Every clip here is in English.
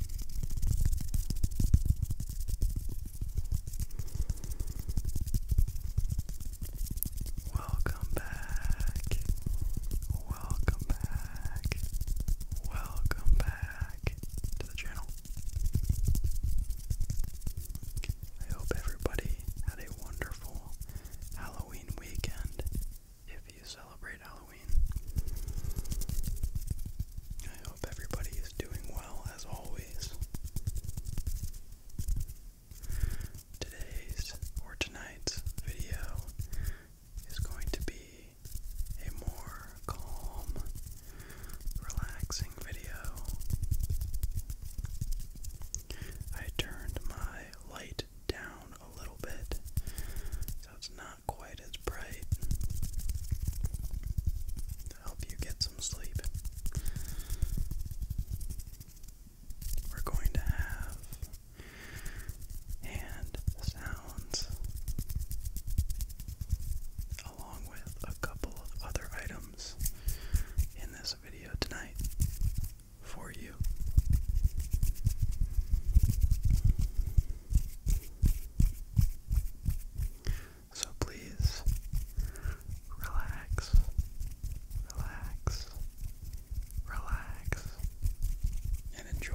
Welcome back. Welcome back. Welcome back to the channel. I hope everybody had a wonderful Halloween weekend. If you celebrate Halloween, I hope everybody is doing well as always. Today's or tonight's video is going to be a more calm, relaxing video. I turned my light down a little bit so it's not not quite as bright to help you get some sleep. We're going to have hand sounds along with a couple of other items in this video tonight for you. So please relax, relax, relax, and enjoy.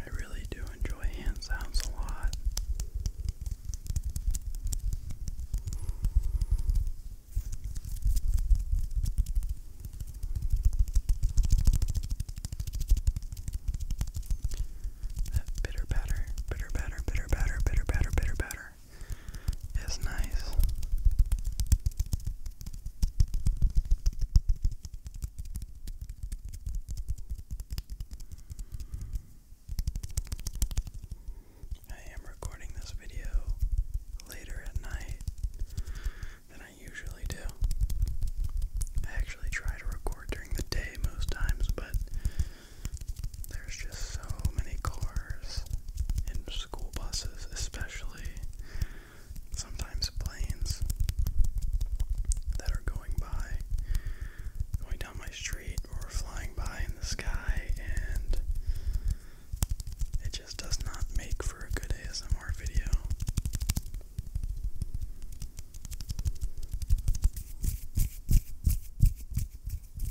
I really do enjoy hand sounds a lot. That bitter batter, bitter batter, bitter batter, bitter batter, bitter batter. It's nice. I am recording this video later at night than I usually do. I actually try to record during the day most times, but there's just so many cars and school buses, especially sometimes planes that are going by, going down my street or flying by in the sky, and it just does not make for a good ASMR video.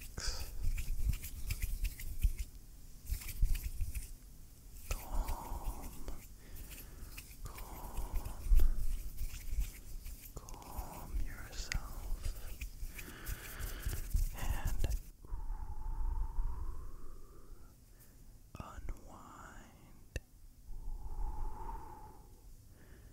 relax. Calm, calm, calm yourself and Unwind,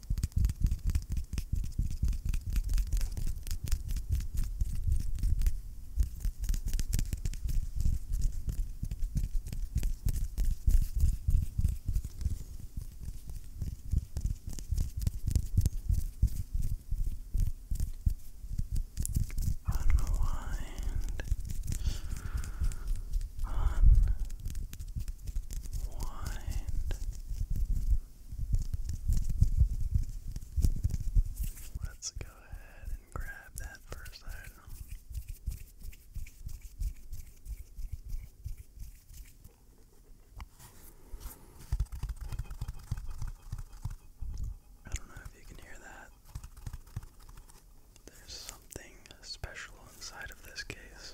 Unwind. Unwind. Let's go ahead and grab that first item. I don't know if you can hear that. There's something special inside of this case.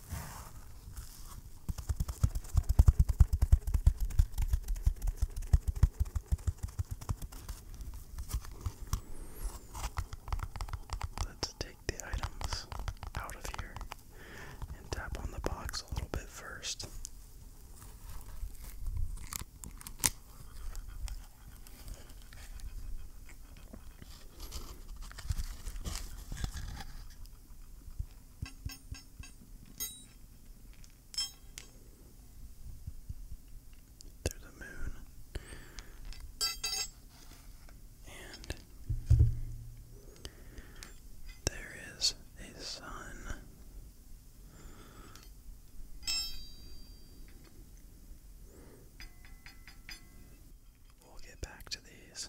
Let's take the items out of here and tap on the box a little bit first. There's a moon. And there is a sun. We'll get back to these.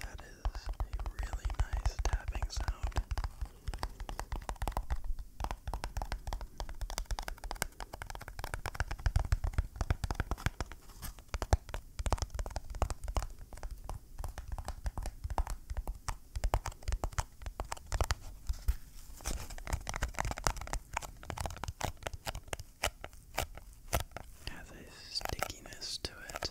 That is a really nice tapping sound. Has a stickiness to it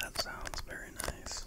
That sounds very nice.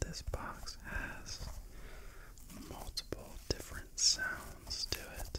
This box has multiple different sounds to it.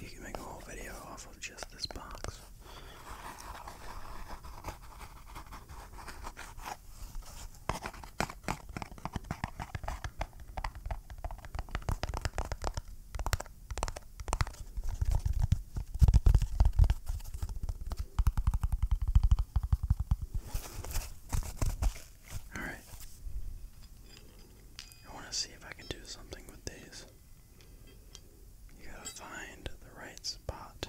You can make a whole video off of just this box. Alright. I want to see if I can do something with these. You gotta find the right spot.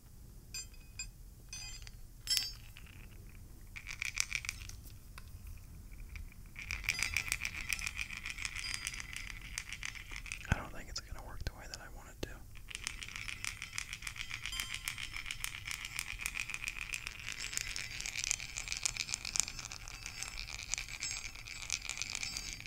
I don't think it's going to work the way that I want it to.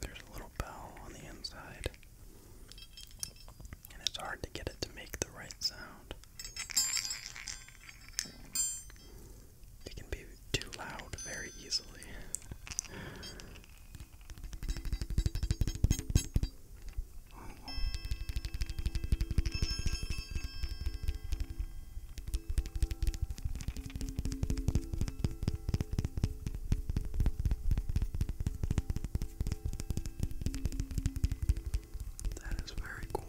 There's a little bell on the inside, and it's hard to get it to make the right sound. It can be too loud very easily. That is very cool.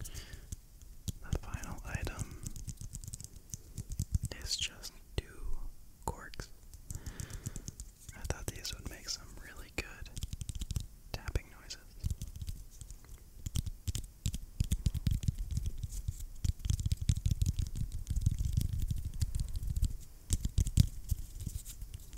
The final item is just two corks. I thought these would make some really good tapping noises.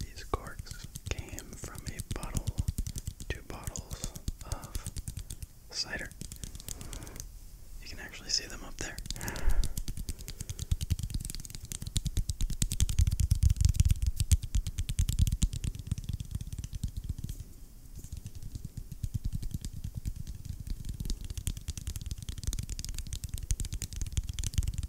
These corks came from a bottle, two bottles of cider. You can actually see them up there.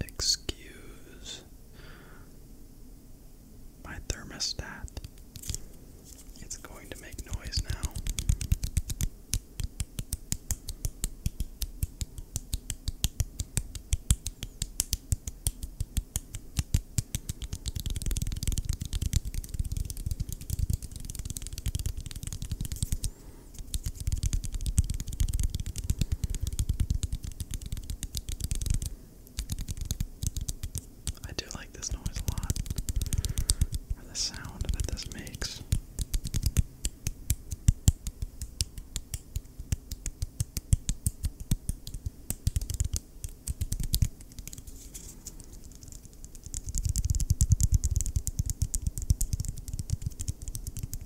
Excuse is my thermostat. It's going to make noise now. I do like this noise a lot, and the sound that this makes.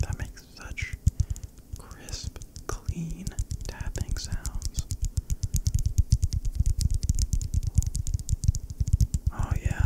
That makes such crisp, clean tapping sounds. Oh, yeah.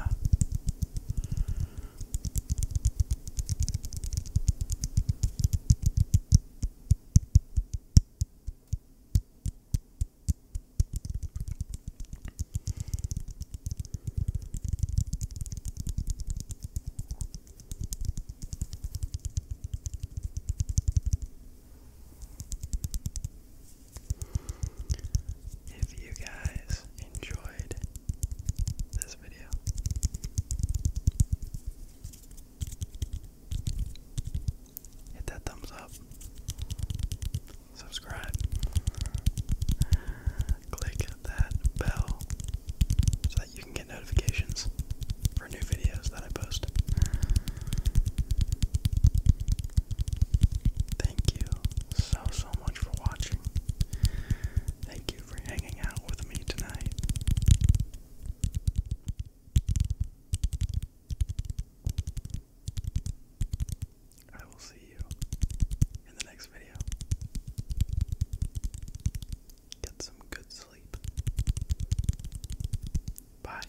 If you guys enjoyed this video. Hit that thumbs up. Subscribe. Click that bell so that you can get notifications for new videos that I post. Thank you so, so much for watching. Thank you for hanging out with me tonight. I will see you in the next video. Get some good sleep. Bye.